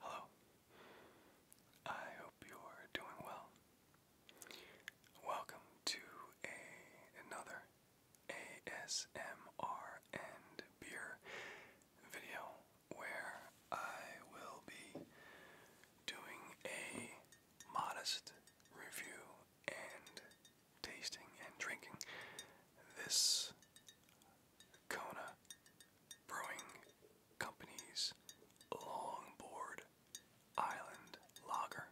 Hello. I hope you're doing well. Welcome to another ASMR and beer video where I will be doing a modest review and tasting and drinking this Kona, Brewing Company's Longboard Island Lager.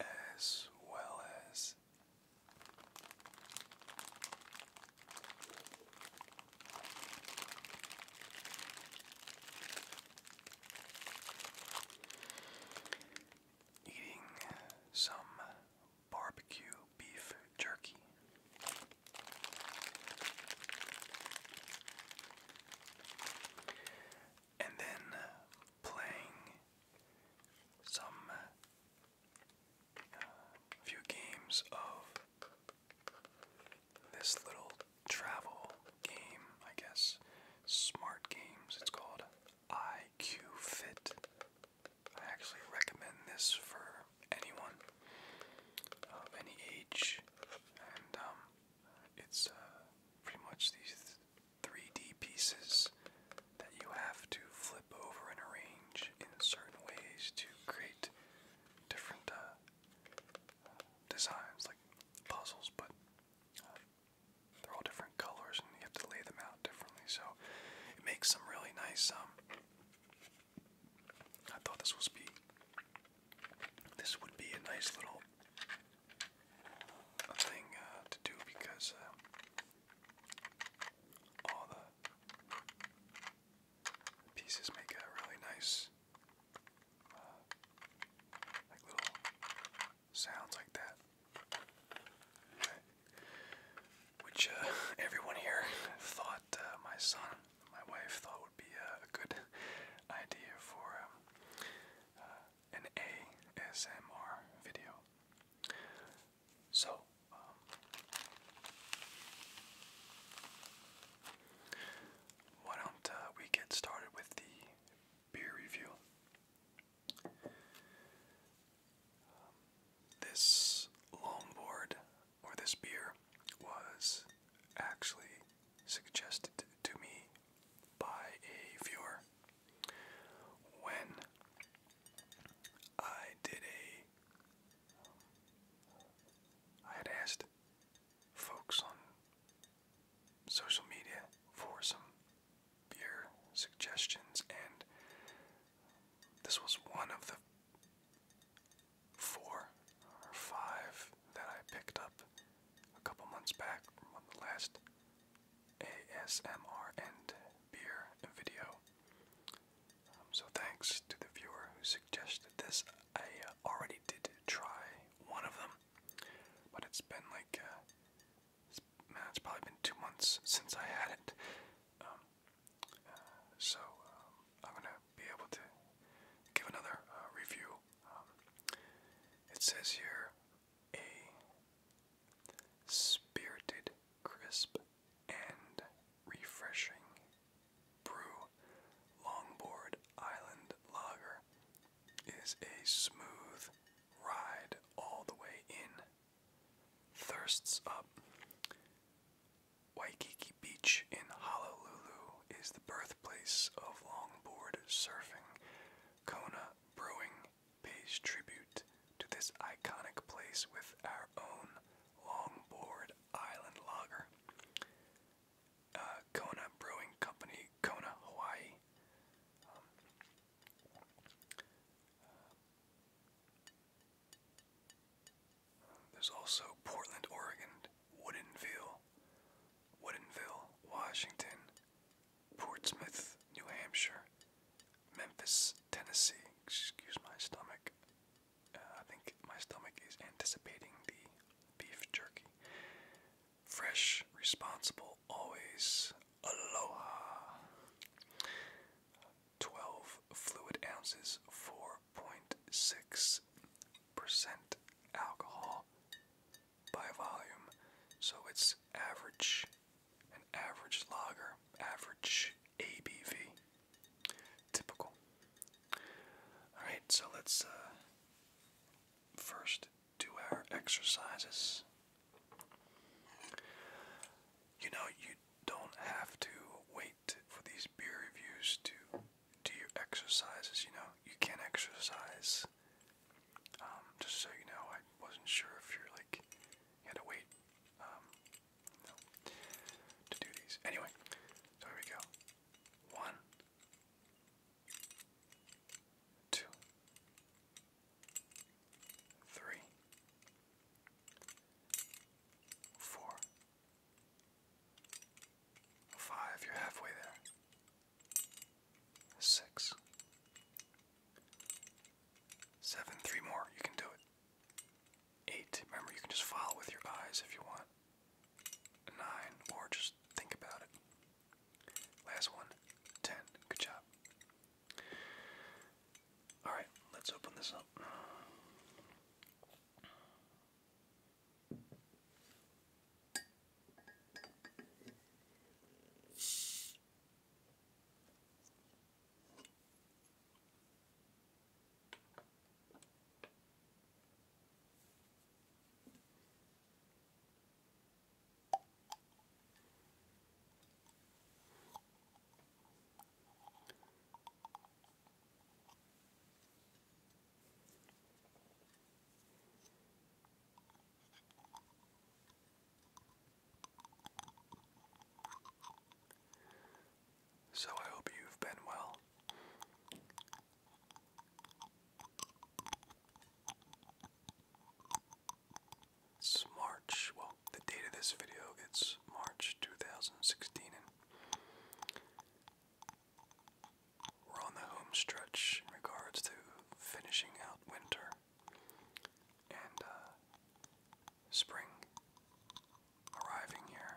As well as eating some barbecue beef jerky. And then playing some uh, few games of this little travel game, I guess. Smart Games, it's called IQ Fit. I actually recommend this for anyone of any age, and um, it's uh, pretty much these 3D pieces that you have to flip over and arrange in certain ways to create different uh, uh, designs, like puzzles, but. They're all different colors, and you have to lay them out differently. So it makes some really nice. Um, I thought this was be. This would be a nice little thing uh, to do because uh, all the pieces make a really nice, uh, like little sounds like that. Which uh, everyone here thought, uh, my son, my wife thought would be uh, a good idea for um, an ASMR video. So, um, why don't we get started with the beer review? Um, this longboard or this beer was actually suggested to me by a viewer when I did a. I had asked folks on social media for some your suggestions, and this was one of the four or five that I picked up a couple months back from the last ASMR and beer video. Um, so thanks to the viewer who suggested this. I uh, already did try one of them, but it's been like uh, man, it's probably been two months since I had it. Um, uh, so um, I'm gonna be able to give another uh, review. Um, it says here a spirited, crisp, and refreshing brew. Longboard Island Lager is a smooth ride all the way in thirsts up. Waikiki Beach in Honolulu is the birthplace of longboard surfing. Kona Brewing pays tribute to this iconic place with our own longboard island lager. Uh, Kona Brewing Company, Kona, Hawaii. Um, there's also Portland, Oregon, Woodinville, Woodinville, Washington, Portsmouth, New Hampshire, Memphis, Tennessee. Excuse my stomach. Uh, I think my stomach is anticipating the beef jerky. Fresh, responsible, always. Aloha. 12 fluid ounces, 4.6% alcohol by volume. So it's average, an average lager, average ABV. Typical. Alright, so let's uh, first do our exercises. You know, you don't have to wait for these beer reviews to do your exercises, you know. You can not exercise. Um, just so you know, I wasn't sure if you're like you had to wait um, to do these. Anyway, so here we go. One, two, three, four, five, you're halfway there, six, seven, three more, you can do it, eight, remember you can just follow with your eyes if you want, nine, or just think about it, last one, ten, good job. Alright, let's open this up. So I hope you've been well. It's March, well, the date of this video, it's March 2016, and we're on the home stretch in regards to finishing out winter and uh, spring arriving here.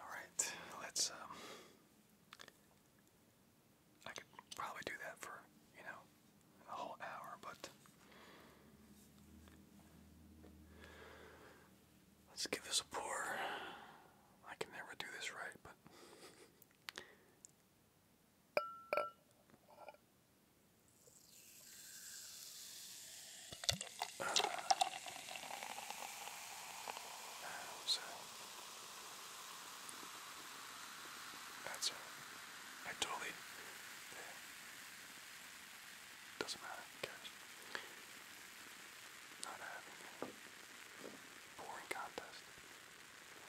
All right, let's. Um, I could probably do that for you know a whole hour, but let's give this a pour. I can never do this right, but so that's it. I totally yeah. doesn't matter. Cares. Not having a boring contest.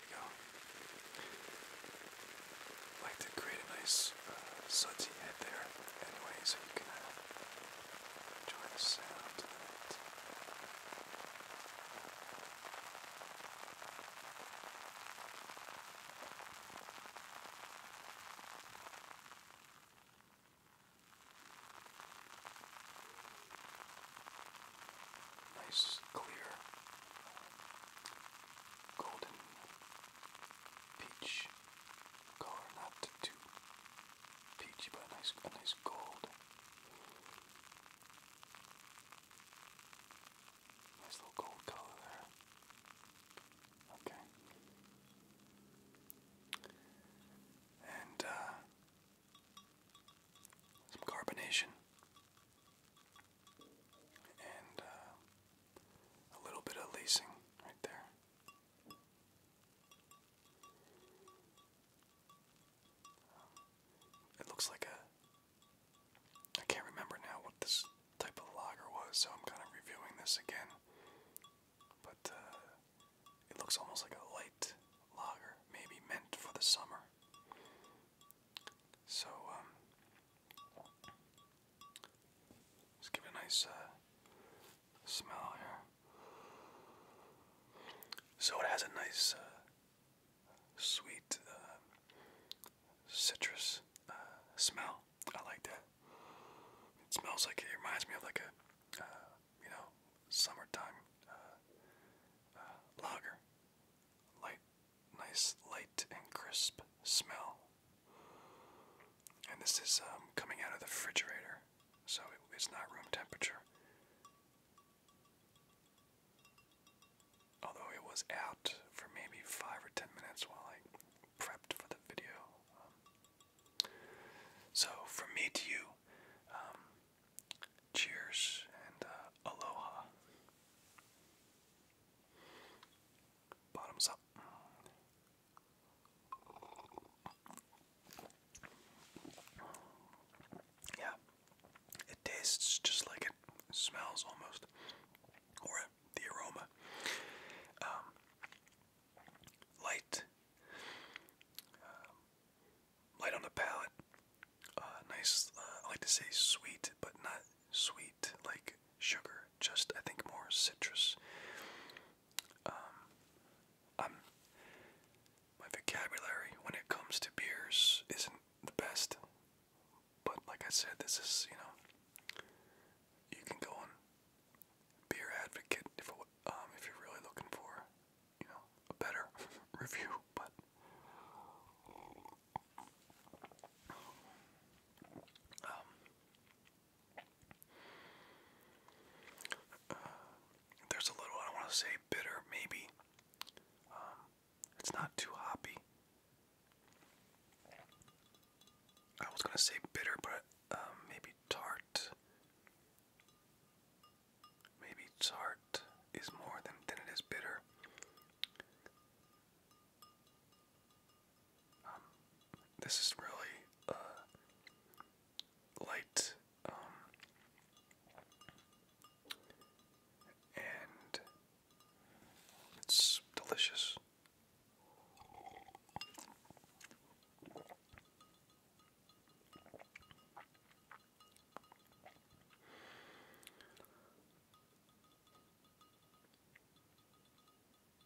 There like to create a nice uh, sudsy head there, anyway, so you can uh, enjoy the sound Nice, clear, golden peach color, not too peachy, but a nice, a nice gold. Nice little gold color there. Okay. And uh, some carbonation and uh, a little bit of lacing right there. Um, it looks like a. I can't remember now what this type of lager was, so I'm kind of reviewing this again. But uh, it looks almost like a light logger, maybe meant for the summer. So, um, give it a nice uh, smell here. So it has a nice, uh, sweet uh, citrus smell. I like that. It smells like it reminds me of like a, you know, summertime lager, light nice light and crisp smell. And this is um, coming out of the refrigerator, so it's not room temperature. Although it was out for maybe five or ten minutes while I prepped for the video. Um. so, from me to you, um, cheers and uh, aloha. Bottoms up. Yeah. It tastes just like it smells almost. Or the aroma. Um, light. Um, light on the palate. Uh, nice, uh, I like to say sweet, but not sweet like sugar, just I think more citrus. Um, i my vocabulary when it comes to beers isn't the best, but like I said, this is you know you can go on Beer Advocate if um, if you're really looking for you know a better review, but um, there's a little, I don't want to say bitter, maybe. Um, it's not too hoppy. I was going to say bitter, but um, maybe tart. Maybe tart is more than, than it is bitter this is really uh, light um, and it's delicious.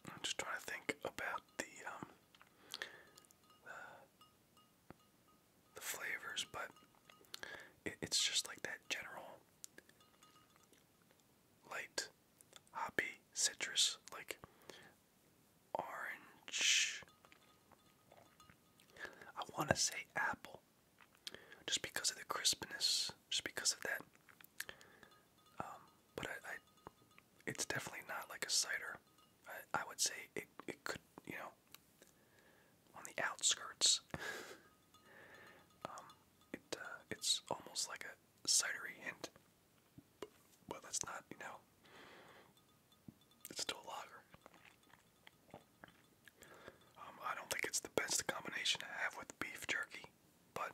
I'm just trying to think about the um, the, flavors, but it's just like that general light hoppy citrus like orange. I want to say apple just because of the crispness, just because of that. Um, but it's definitely not like a cider. I, would say it, could, you know, on the outskirts. Um, uh, it's almost like a cidery hint. But that's not, you know, it's still a lager. Um, I don't think it's the best combination to have with beef jerky, but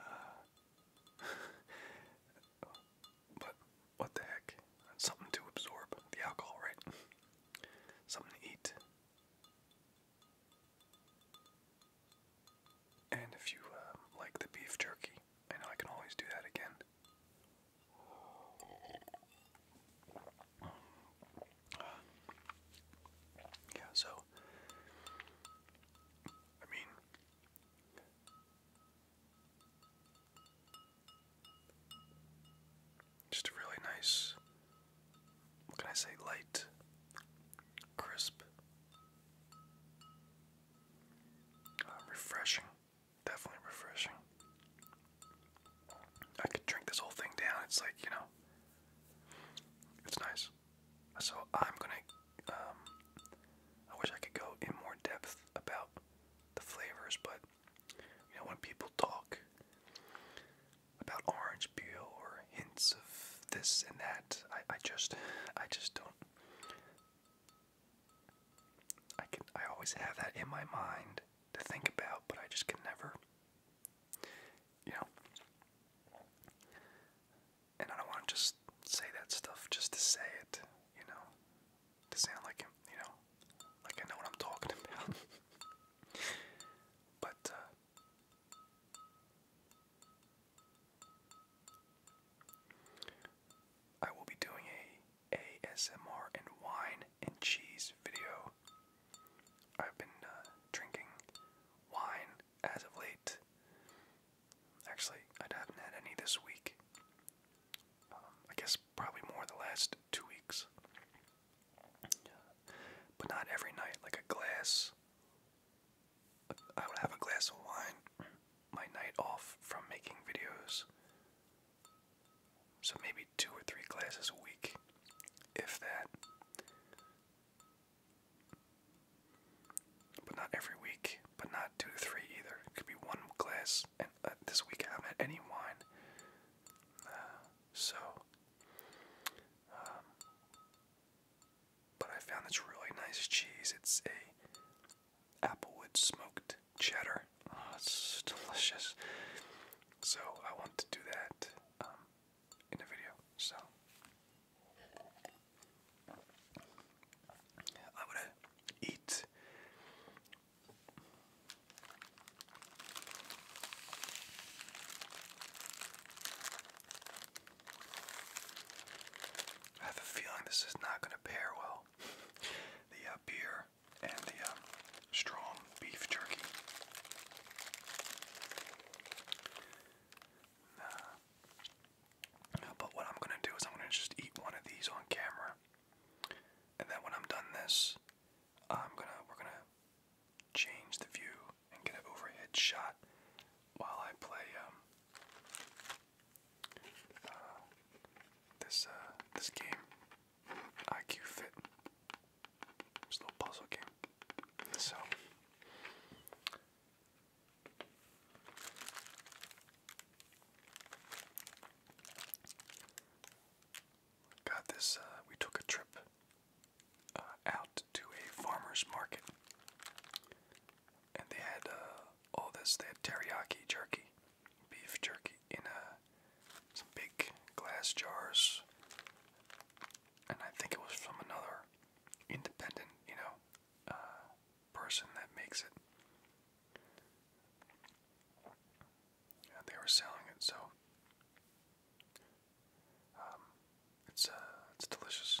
uh, but what the heck? something to absorb the alcohol, right? Something to eat. And if you um, like the beef jerky, I know I can always do that again yeah, so I mean just a really nice what can I say light crisp uh, refreshing definitely refreshing I could drink this whole thing down. It's like, you know, it's nice. So I'm gonna, um, I wish I could go in more depth about the flavors, but you know, when people talk about orange peel or hints of this and that, I, I just, I just don't. I can, I always have that in my mind to think about, but I just can never you know. And I don't want to just say that stuff just to say it, you know, to sound like you know, like I know what I'm talking about. but uh, I will be doing a ASMR and wine and cheese video I've been uh, drinking wine as of late. Actually, I haven't had any this week. Um, I guess probably more the last two weeks. But not every night, like a glass. I would have a glass of wine my night off from making videos. So maybe two or three glasses a week, if that. But not every week, but not two to three either. It could be one glass. and uh, this week I am at any wine. Uh, so, um, but I found this really nice cheese. It's a applewood smoked cheddar. Oh, it's delicious. So I want to do that. Um, in the video. So I'm to eat I have a feeling this is not going to pair well. The uh, beer and the um, strong beef jerky. Uh, but what I'm gonna do is I'm gonna just eat one of these on camera, and then when I'm done this, I'm gonna we're gonna change the view and get an overhead shot while I play um, uh, this uh, this game IQ Fit. It's a little puzzle game. So got this uh, we took a trip uh, out to a farmer's market and they had uh, all this they had teriyaki jerky beef jerky in some big glass jars and I think it was from another independent, you know, uh, person that makes it. Yeah, they were selling it, so um, it's uh, it's delicious.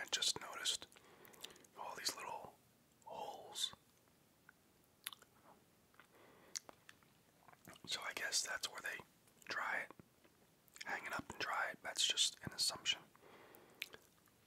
I just noticed all these little holes. So I guess that's where they dry it. Hang up and dry it. That's just an assumption.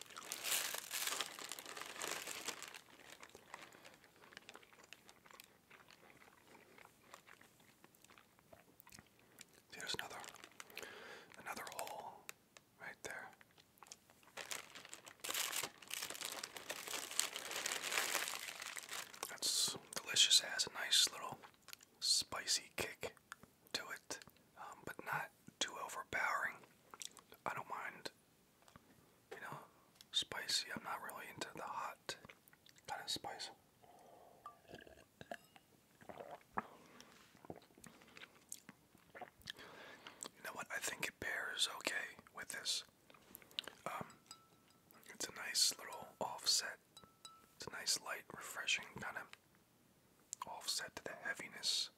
See, another another hole right there. That's delicious. It has a nice little spicy kick to it, um, but not too overpowering. I don't mind, you know, spicy. I'm not really into the hot kind of spice. You know what? I think it pairs okay with this. Um, it's a nice little offset. It's a nice, light, refreshing kind of offset to the heaviness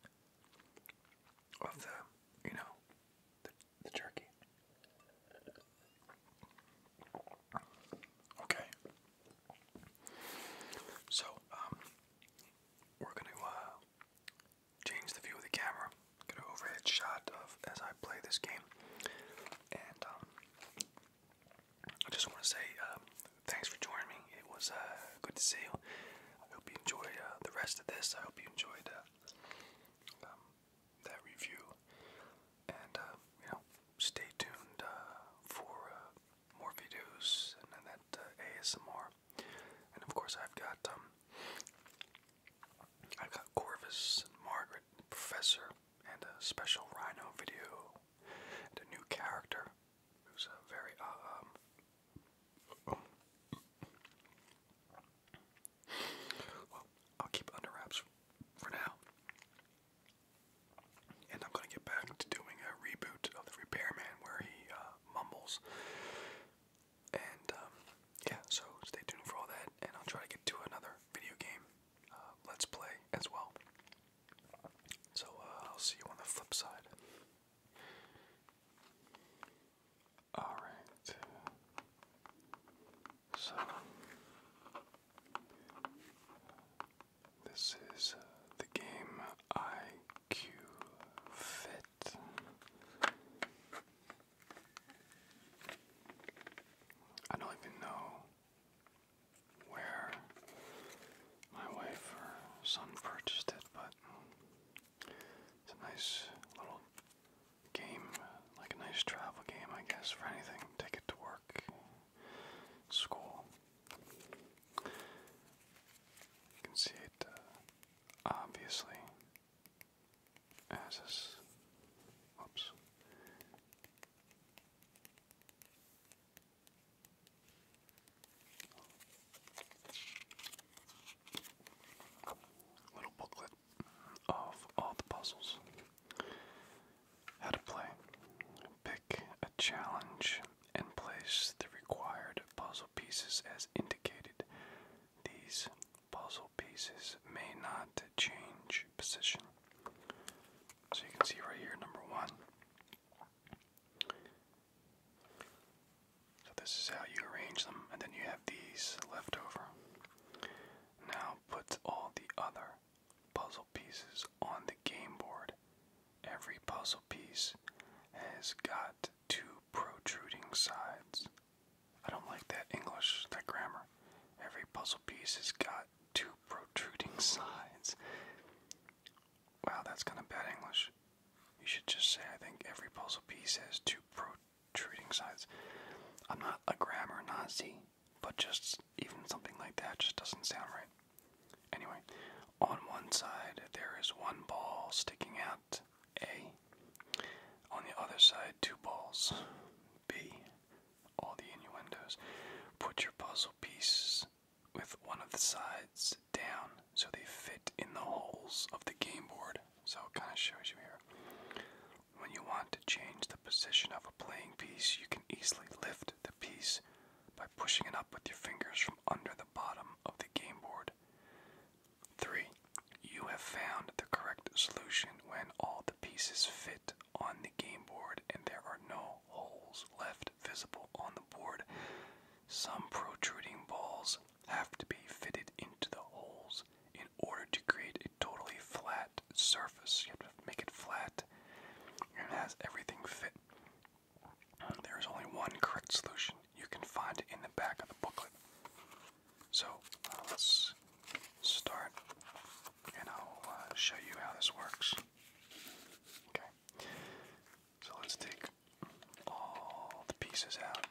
of the, you know, the, the jerky. Okay. So, um, we're going to uh, change the view of the camera, get an overhead shot of as I play this game. And um, I just want to say um, thanks for joining me. It was uh, good to see you. I hope you enjoyed uh, the rest of this. I hope you enjoyed uh, um, that review. And, uh, you know, stay tuned for more videos and, and that uh, ASMR. And, of course, I've got, um, I've got Corvus and Margaret, Professor, and a special Rhino video, and a new character who's uh, very um, well, I'll keep under wraps for now, and I'm gonna get back to doing a reboot of the Repairman where he uh, mumbles. And um, yeah, so stay tuned for all that, and I'll try to get to another video game uh, let's play as well. So uh, I'll see you on the flip side. All right. So this is uh, the game IQ Fit. I don't even know where my wife or son purchased it, but it's a nice little game, like a nice travel game, I guess, for anything. Take it to work, school. You can see it uh, obviously as Oops. Little booklet of all the puzzles. How to play. Pick a challenge and place the required puzzle pieces as indicated. These puzzle pieces may not change position. So you can see right here, number one. So this is how you arrange them, and then you have these left over. Now put all the other puzzle pieces on the game board. Every puzzle piece has got two protruding sides. I don't like that English, that grammar. Every puzzle piece has got two protruding sides. Wow, that's kind of bad English. You should just say, I think every puzzle piece has two protruding sides. I'm not a grammar Nazi, but just even something like that just doesn't sound right. Anyway, on one side there is one ball sticking out, A. On the other side, two balls, B. All the innuendos. Put your puzzle piece with one of the sides down so they fit in the holes of the game board. So it kind of shows you here. When you want to change the position of a playing piece, you can easily lift the piece by pushing it up with your fingers from under the bottom of the game board. 3. You have found the correct solution when all the pieces fit on the game board and there are no holes left visible on the board. Some protruding balls have to be fitted into the holes in order to create a totally flat surface. You have to make it flat and it everything fit. There is only one correct solution. You can find in the back of the booklet. So uh, let's start and I'll uh, show you how this works. Okay. So let's take all the pieces out.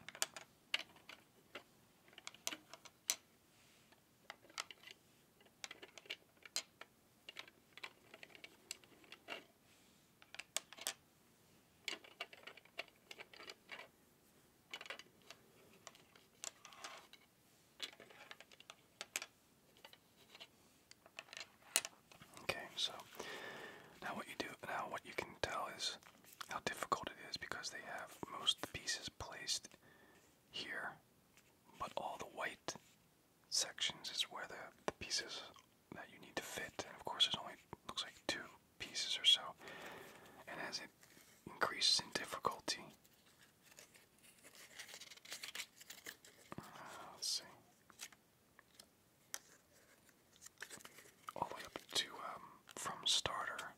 Okay, so now what you do now what you can tell is how difficult it is because they have most of the pieces placed here, but all the white sections is where the, pieces that you need to fit, and of course there's only looks like two pieces or so. And as it increases in difficulty, uh, let see all the way up to um, from starter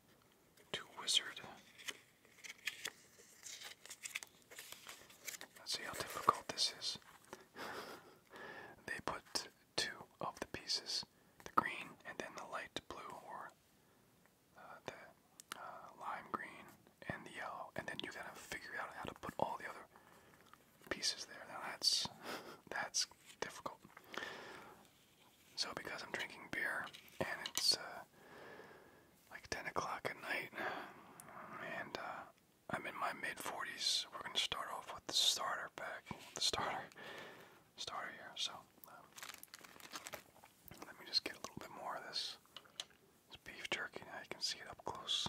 to wizard. Let's see how difficult this is. they put two of the pieces, the green and then the light blue, or uh, the uh, lime green and the yellow, and then you gotta figure out how to put all the other pieces there. Now that's that's difficult. So because I'm drinking beer and it's uh, like 10 o'clock at night and uh, I'm in my mid 40s, we're gonna start off with the starter pack, the starter, starter here. So um, let me just get a little bit more of this. beef jerky. Now you can see it up close.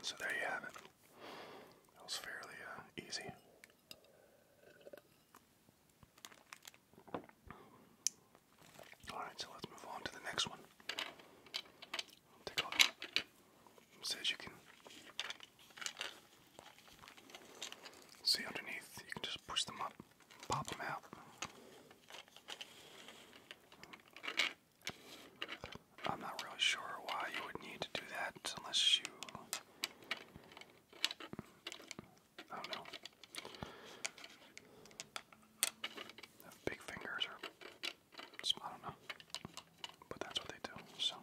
So there you have it. That was fairly uh, easy. Alright, so let's move on to the next one. Take a says you can see underneath, you can just push them up, pop them out. I'm not really sure why you would need to do that unless you I don't know. Big fingers or I don't know. But that's what they do, so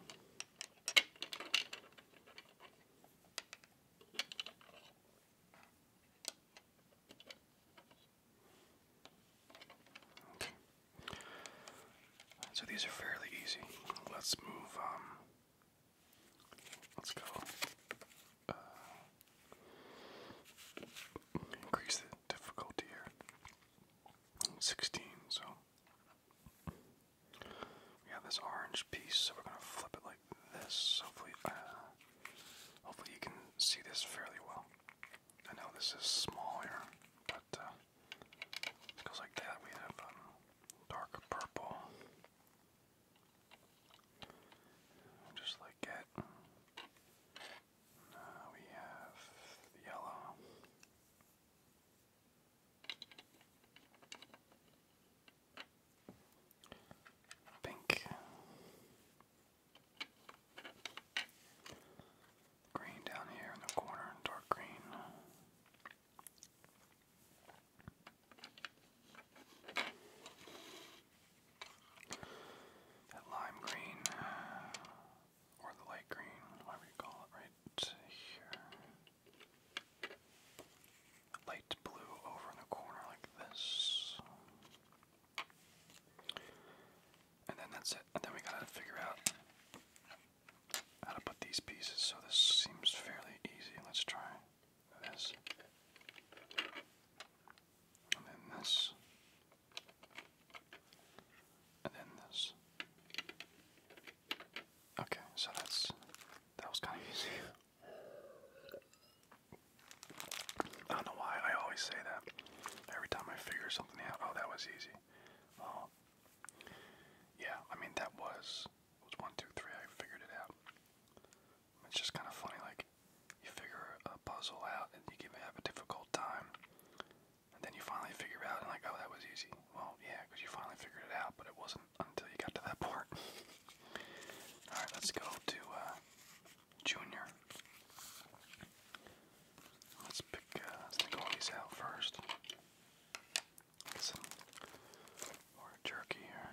Okay. So these are fairly easy. Let's move um Let's go. Uh, increase the difficulty here. 16, so. We have this orange piece, so we're gonna flip it like this. Hopefully, uh, hopefully you can see this fairly well. I know this is smaller, but uh, Goes like that. We have um, dark purple, just like it. we have yellow. Pink, green down here in the corner, dark green, that lime green, uh, or the light green, whatever you call it, right here. Light blue over in the corner, like this. And then that's it. And then we gotta figure out how to put these pieces, so this seems fairly easy. Let's try this. And then this. And then this. Okay, so that's that was kind of easy. I don't know why I always say that. Every time I figure something out, oh, that was easy. Oh, yeah. I mean, that was was one, two, three. I figured it out. It's just kind of funny, like you figure a puzzle out and you give have a difficult time, and then you finally figure it out and like, oh, that was easy. Well, yeah, because you finally figured it out, but it wasn't until you got to that part. All right, let's go to uh, Junior. Let's pick. Uh, out first some more jerky here.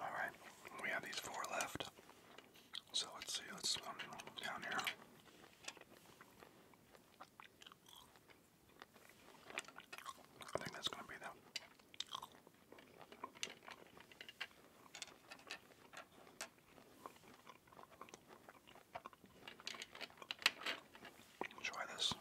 All right, we have these four left. So let's see, let's um, down here. I think that's going to be them. Try this.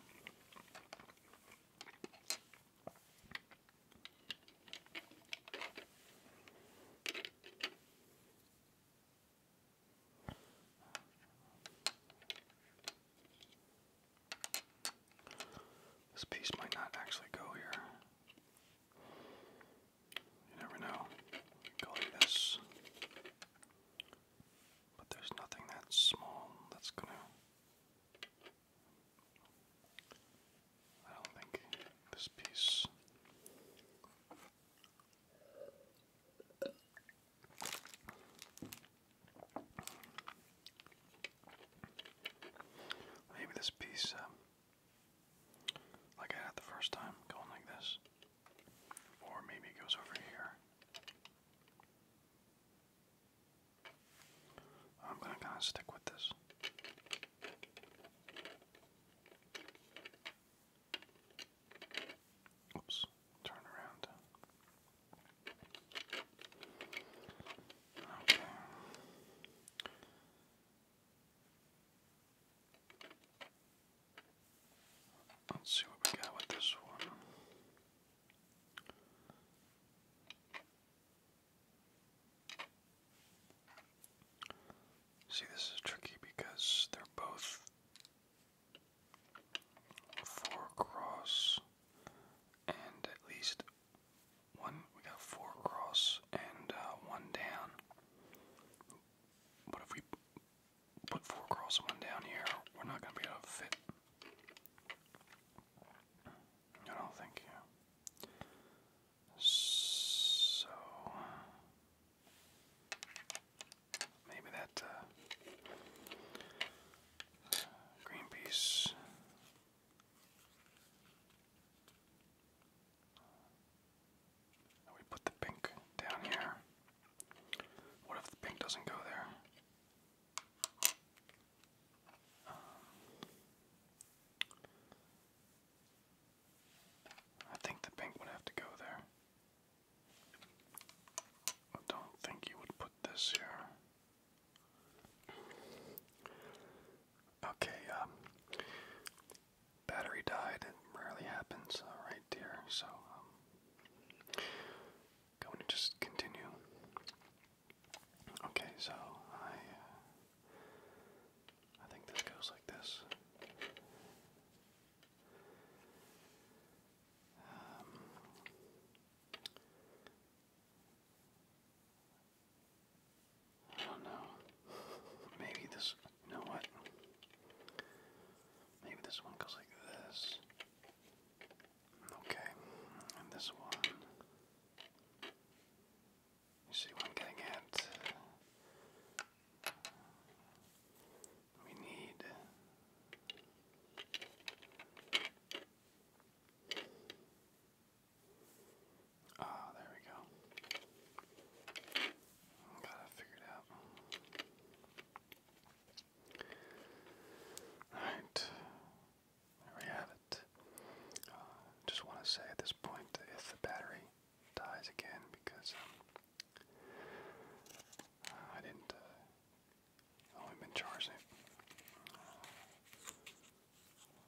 This piece might not actually go here. You never know. Color this. But there's nothing that small that's gonna. I don't think this piece. Maybe this piece um, like I had the first time, going like this. Or maybe it goes over here. I'm gonna kind of stick with this. Oops, turn around. Okay. Let's see what we got with this one. See, this is tricky because they're both four cross and at least one. We got four cross and uh, one down. But if we put four across and one down here, we're not going to be able to fit. I don't think, So. Maybe that uh, green piece we put the pink down here. What if the pink doesn't go there? Um, I think the pink would have to go there. I don't think you would put this here. Okay, um, battery died. It rarely happens uh, right there. So um, going to just continue. Okay, so I uh, I think this goes like this. Um, I don't know. Maybe this. You know what? Maybe this one goes like this. Okay. And this one. You see what I'm getting at? We need. Ah, there we go. Got it figured out. Alright, there we have it. Uh, just want to say at this point, if the battery dies again, because um, uh, I didn't, uh, only been charging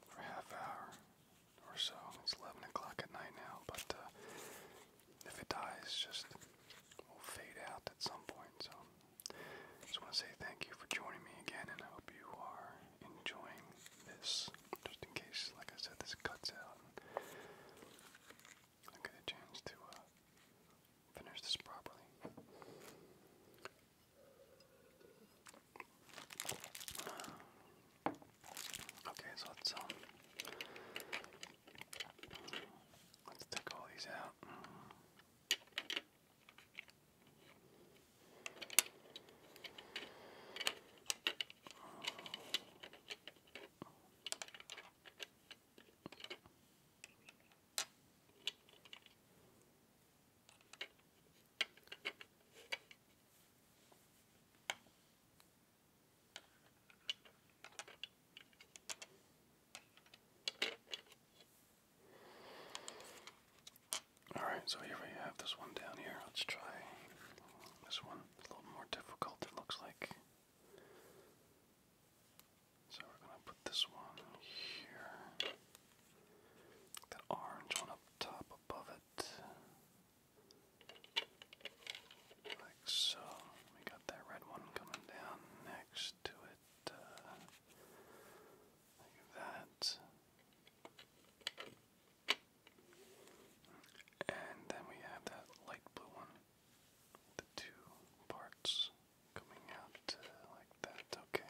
for half hour, or so. It's 11 o'clock at night now, but uh, if it dies, just will fade out at some point. So just want to say thank you for joining me again, and I hope you are enjoying this. Just in case, like I said, this cuts out. I get a chance to uh, finish this properly. Okay, so let's um let's take all these out. Alright, so here we have this one down here. Let's try this one. a little more difficult, it looks like. So we're going to put this one here. That orange one up top above it. Like so. We got that red one coming down next to it. Uh, like that. And then we have that light blue one. The two parts coming out uh, like that. Okay.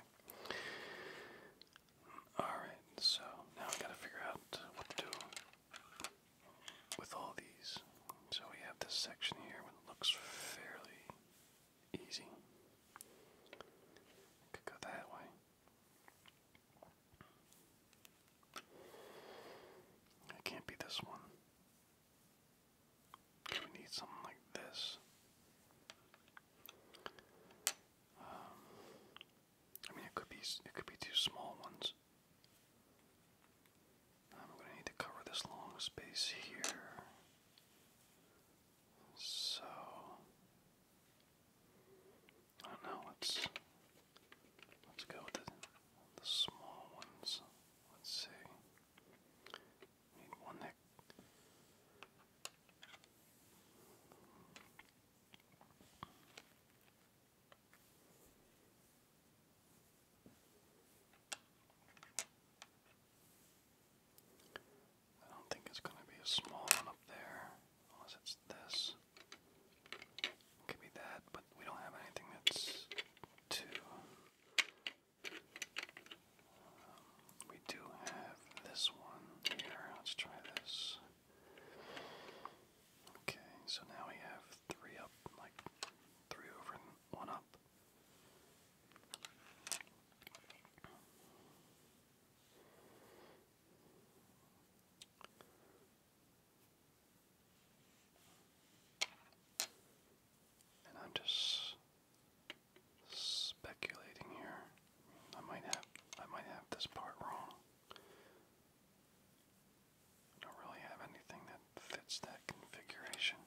Alright, so now I gotta figure out what to do with all these. So we have this section here that looks fairly easy. Could go that way. It can't be this one. We need something like this. Um, I mean, it could be it could be two small ones. I'm going to need to cover this long space here. So I don't know. Let's let's go with the, small ones. Let's see. Need one that. I don't think it's going to be a small one up there, unless it's this. could be that, but we don't have anything that's two. Um, we do have this one here. Let's try this. Okay, so now we have three up, like three over one up. And I'm just speculating here. I might have I might have this part wrong don't really have anything that fits that configuration.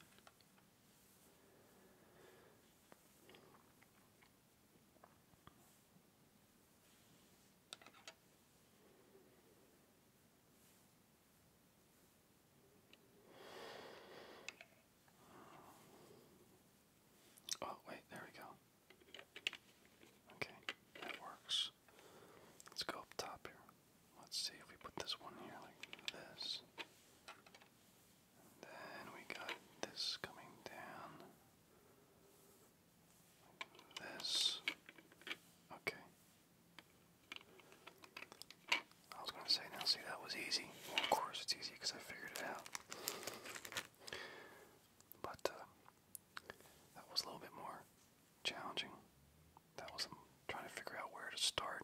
Oh, wait, there we go. Okay, that works. Let's go up top here. Let's see if we put this one here like this. then we got this coming down. this. Okay. I was going to say, now see, that was easy. of course it's easy because I figured it out. But, uh, that was a little bit more challenging. That was trying to figure out where to start.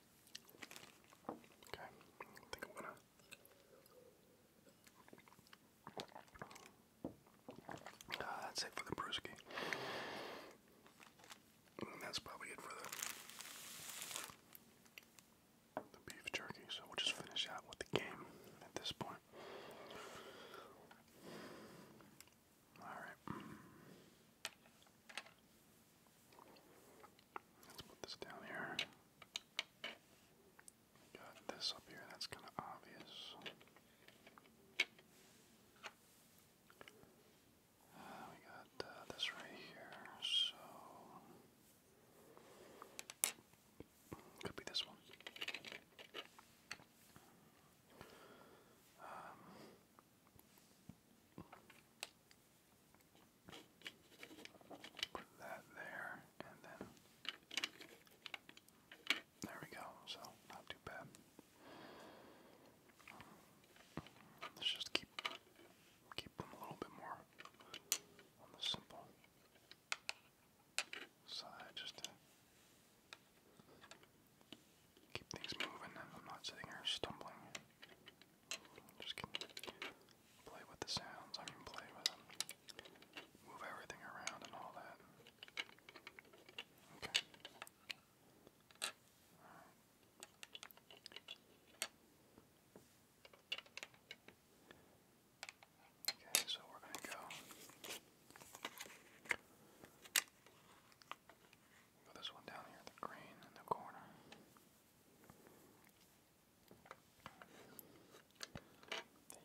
Okay, I think I'm gonna. Ah, that's it for the brewski. that's probably it for the, the beef jerky. So we'll just finish out with the game at this point. Alright. Let's put this down here. Got this up here, that's kind of obvious. Uh, we got uh, this right here, so. Could be this one. Um, Put that there, and then there we go. So not too bad. Let's just keep keep them a little bit more simple side, just to keep things moving, and I'm not sitting here stumbling. Just play with the sounds. I mean, play with them. Move everything around and all that. Okay. Okay, so we're going to go go this one down here, the green in the corner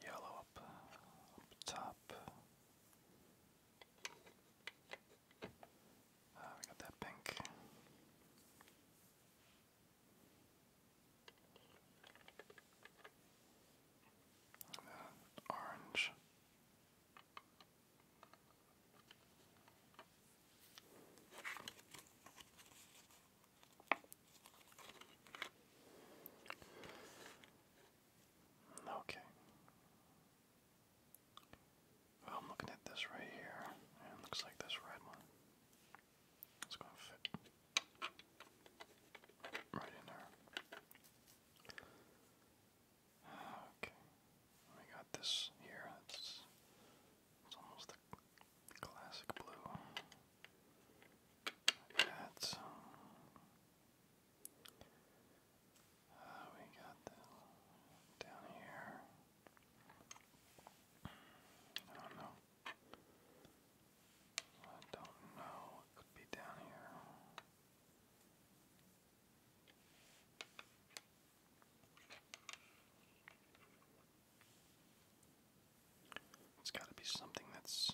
yellow up, top. Uh, we got that pink. orange. Okay. Well, I'm looking at this right here, it looks like this red one. It's going to fit right in there. Okay. We got this here. That's it's almost a classic blue. That's. Uh, we got the down here. I don't know. I don't know. It could be down here. It's got to be something that's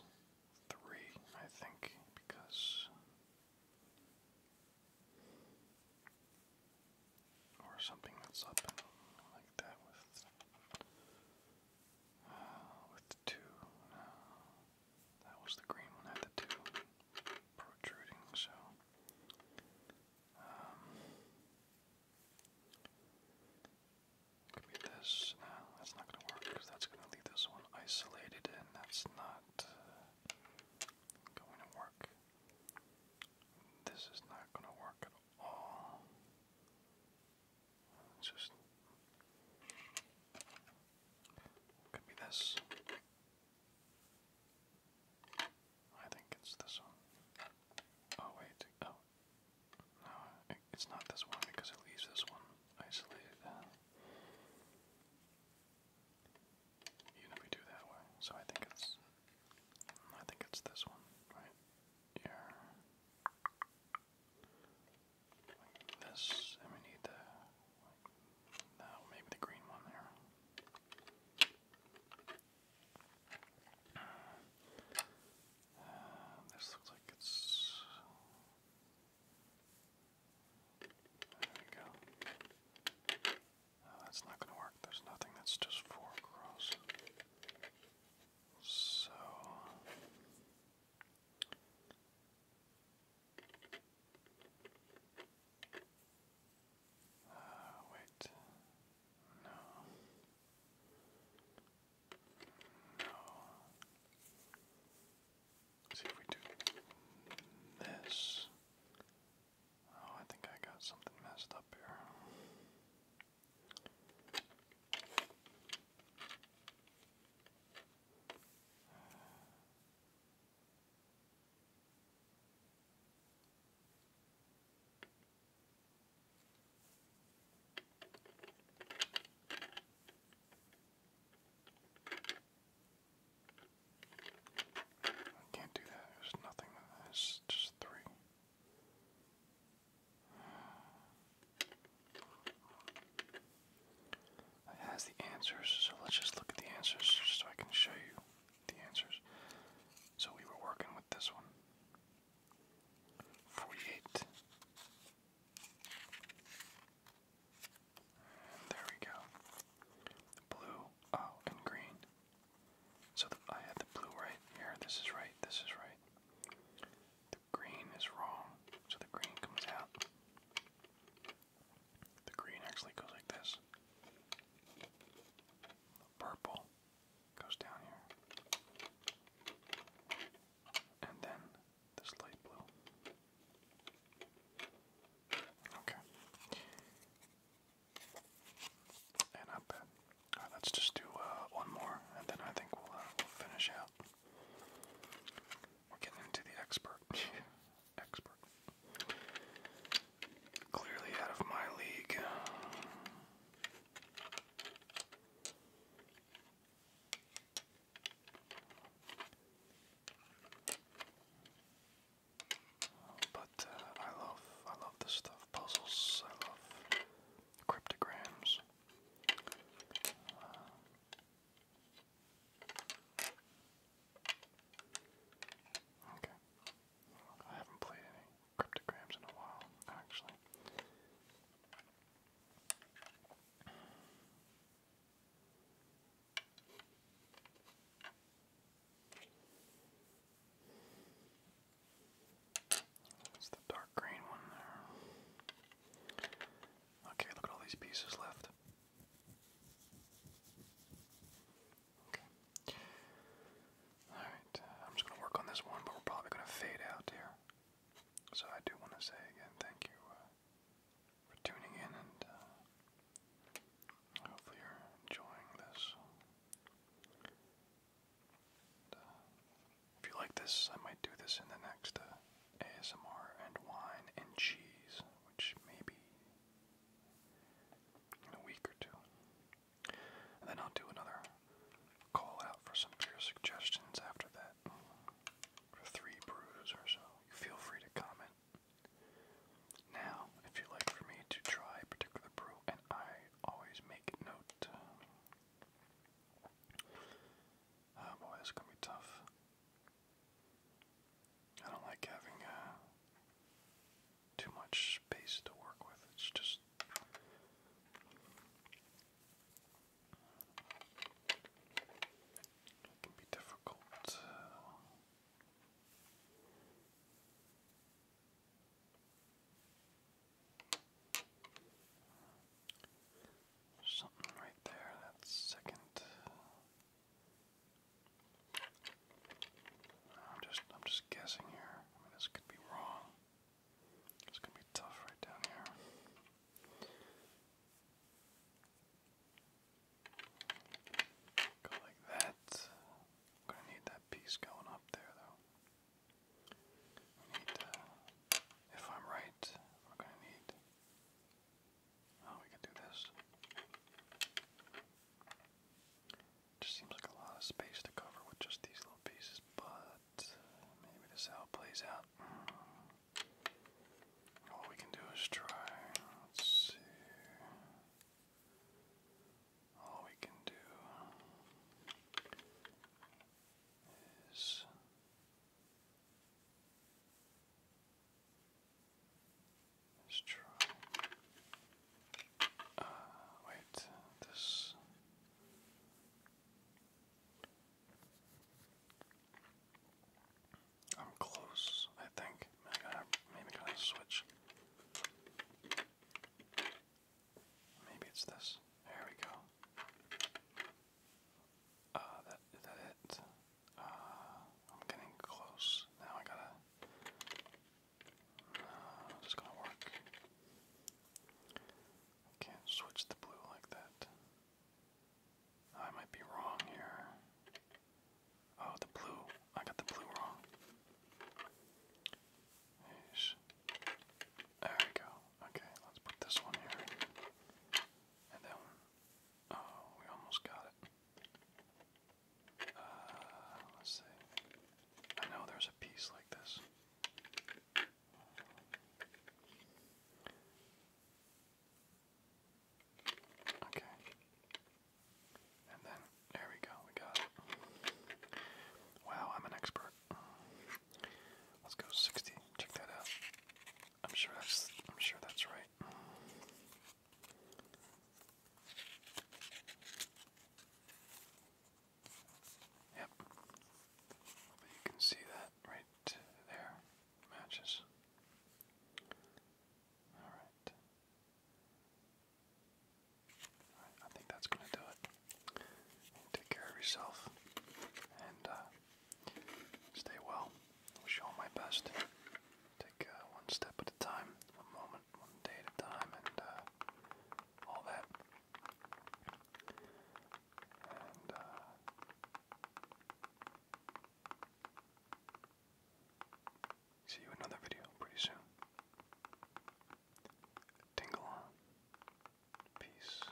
three, I think, because. Or something that's up like that with uh, with two. No, uh, that was the green one had the two protruding. So um, could be this. No, that's not gonna work because that's gonna leave this one isolated, and that's not uh, going to work. This is not gonna work at all. It's just could be this. I think it's this one. Oh wait, oh. No, it's not this one because it leaves this one isolated. Even uh, if we do that way, so I think it's, I think it's this one, right? Here, like this, and we need the, like, maybe the green one there this looks like it's. There we go. that's not going to work. There's nothing that's just four across. So. Ah, wait. No. No. see if we do this. Oh, I think I got something messed up here. I can't do that. There's nothing. It's just three. It has the answers, so let's just look at the answers so I can show you the answers. So we were working with this one. there we go. Blue, oh, and green. So I had the blue right here. This is right. This is right. The green is wrong. So the green comes out. The green actually goes like this. purple goes down here. And then this light blue. Okay. And up. Uh, Alright, let's just do uh, one more, and then I think uh, we'll finish out. We're getting into the expert. expert. Clearly out of my league. But uh, I love I love this stuff. Puzzles. I love cryptograms. Uh, okay. I haven't played any cryptograms in a while, actually. That's the dark green one there. Okay, look at all these pieces left. Okay. Alright, uh, I'm just going to work on this one, but we're probably going to fade out here. So I do want to say again thank you uh, for tuning in, and uh, hopefully you're enjoying this. if you like this, I might do this in the next ASMR and wine and cheese, which maybe in a week or two then I'll do another call out for some beer suggestions after that. For three brews or so. Feel free to comment. Now, if you'd like for me to try a particular brew, and I always make note. Oh boy, this is gonna be tough. I don't like having uh, too much space to work with. It's just it can be difficult. Something right there, that's second. I'm just I'm just guessing here this could be wrong. It's gonna be tough right down here. Go like that. I'm gonna need that piece going up there, though. We need, uh, if I'm right, we're gonna need. Oh, we can do this. Just seems like a lot of space to cover with just these little pieces, but maybe this is how it plays out. All we can do is try. Let's see. All we can do is. try. Uh, wait, this. I'm close, I think. I gotta, maybe I gotta switch. Maybe it's this. There we go. Uh, that, is that it? Uh, I'm getting close. Now I gotta How's this gonna work? Can't switch the blue like that. Oh, I might be wrong here. Oh, the blue. I got the blue wrong. There we go. Okay, let's put this one here. And that one. Oh, we almost got it. Uh, let's see. I know there's a piece like this. Okay. And then, there we go, we got Wow, I'm an expert. Let's go 60, check that out. I'm sure that's, I'm sure that's right. Yep. you can see that right there matches. All right. I think that's gonna do it. Take care of yourself and uh, stay well. I'll show my best. Take uh, one step at a time, one moment day at time and uh, all that. Uh, see you another video pretty soon. Tingle on. Peace.